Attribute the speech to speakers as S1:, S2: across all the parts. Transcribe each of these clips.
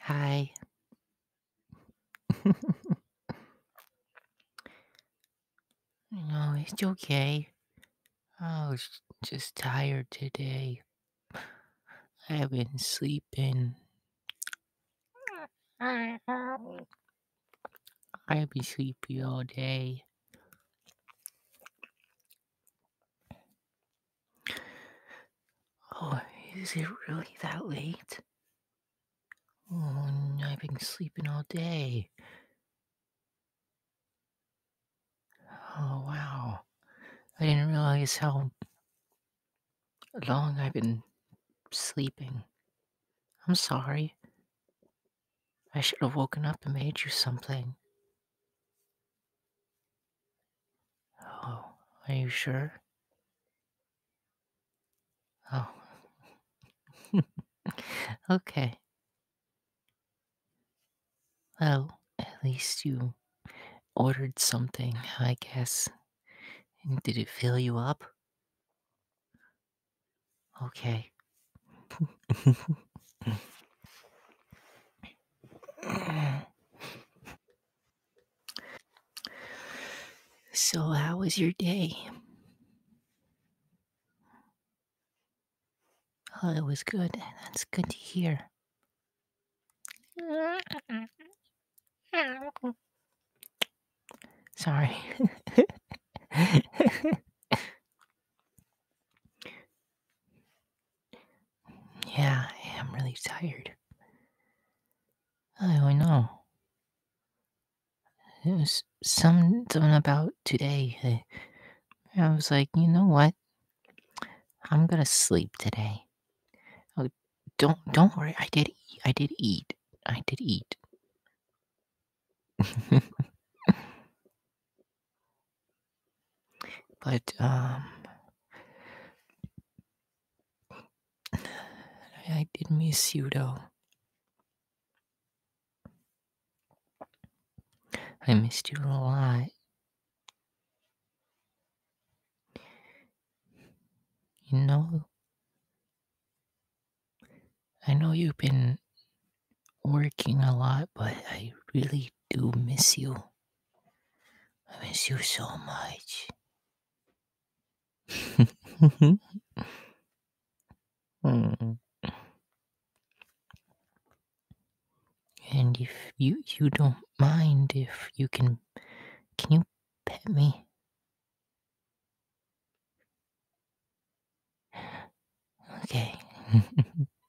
S1: Hi. no, it's okay. I was just tired today. I have been sleeping. I've been sleepy all day. Oh, is it really that late? Oh, I've been sleeping all day. Oh, wow. I didn't realize how long I've been sleeping. I'm sorry. I should have woken up and made you something. Oh, are you sure? Oh. okay. Well, at least you ordered something, I guess. Did it fill you up? Okay. So, how was your day? Oh, it was good. That's good to hear. Sorry. Yeah, I am really tired. I know. It was something about today. I was like, you know what? I'm gonna sleep today. Oh, don't don't worry. I did eat. I did eat. I did eat. But um, I did miss you though. I missed you a lot. You know, I know you've been working a lot, but I really do miss you. I miss you so much. Hmm. And if you you don't mind if you can can you pet me? Okay.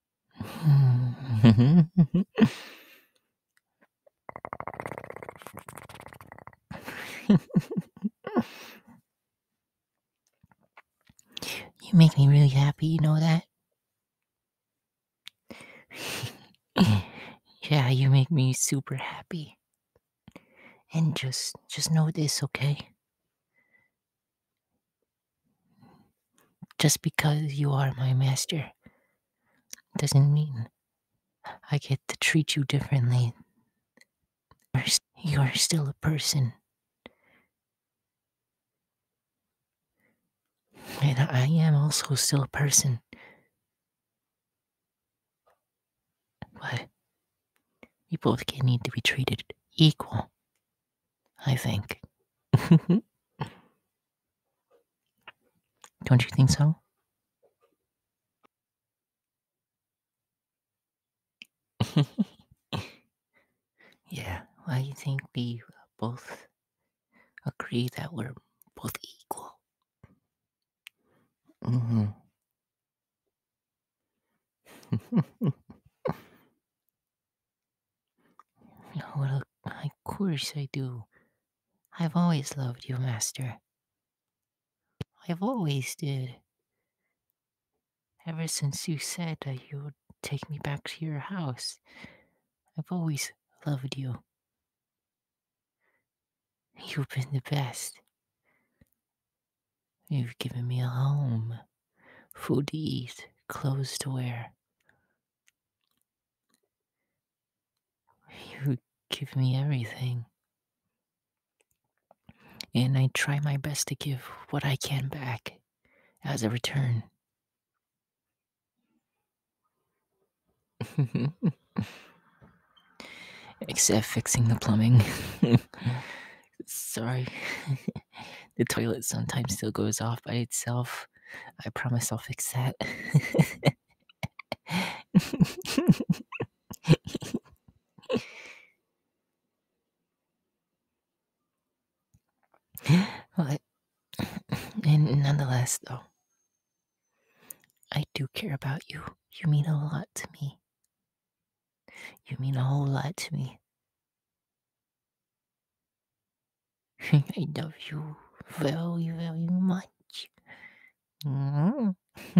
S1: you make me really happy, you know that? yeah, you make me super happy. And just just know this, okay? Just because you are my master doesn't mean I get to treat you differently. You are still a person. And I am also still a person. But we both need to be treated equal, I think. Don't you think so? yeah, well, I think we both agree that we're both equal. Mm-hmm. Well, of course I do. I've always loved you, Master. I've always did. Ever since you said that you would take me back to your house, I've always loved you. You've been the best. You've given me a home, food to eat, clothes to wear. You give me everything. And I try my best to give what I can back as a return. Except fixing the plumbing. Sorry. the toilet sometimes still goes off by itself. I promise I'll fix that. well, nonetheless, though, I do care about you. You mean a lot to me. You mean a whole lot to me. I love you very, very much. Mm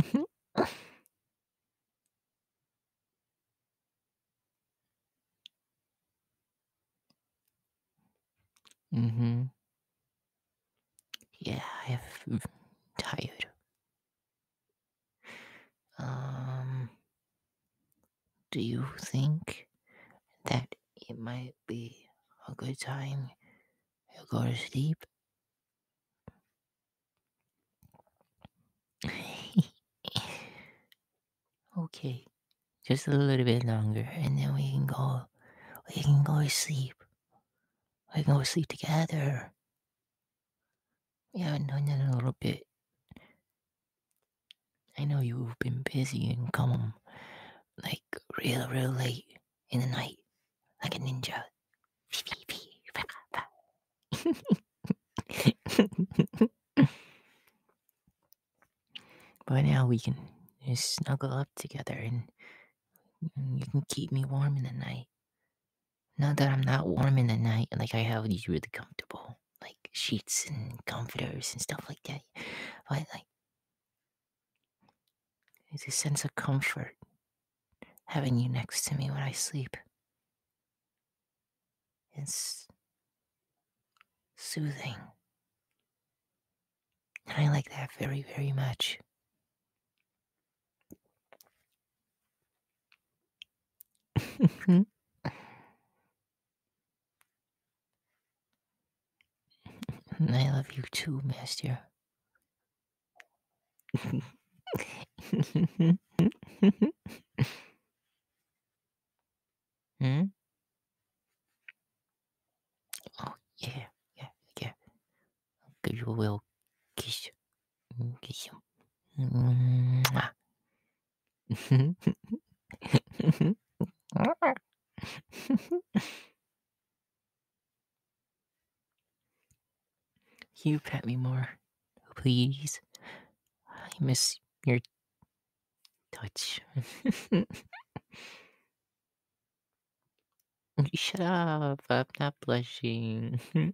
S1: -hmm. Yeah, I have mm, tired. Um do you think that it might be a good time to go to sleep? okay, just a little bit longer, and then we can go. We can go to sleep. We can go to sleep together. Yeah, no, a little bit. I know you've been busy and come home, like real, real late in the night, like a ninja. but now we can snuggle up together and, you can keep me warm in the night. Not that I'm not warm in the night, like I have these really comfortable like sheets and comforters and stuff like that. But like it's a sense of comfort having you next to me when I sleep. It's soothing. And I like that very, very much. Mm-hmm. I love you too, Master. Hmm? Oh, yeah, yeah, yeah. I'll kiss. Kiss him. you pet me more, please. I miss your touch. Shut up, I'm not blushing.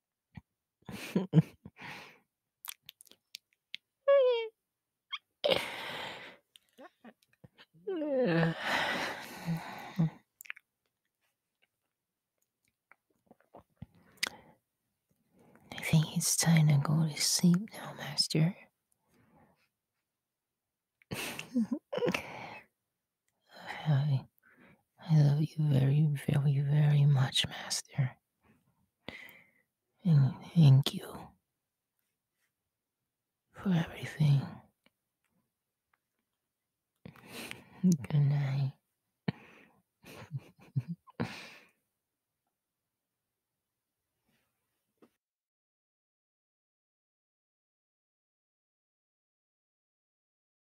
S1: I think it's time to go to sleep now, Master. I, I love you very, very, very much, Master. And thank you for everything. Good night.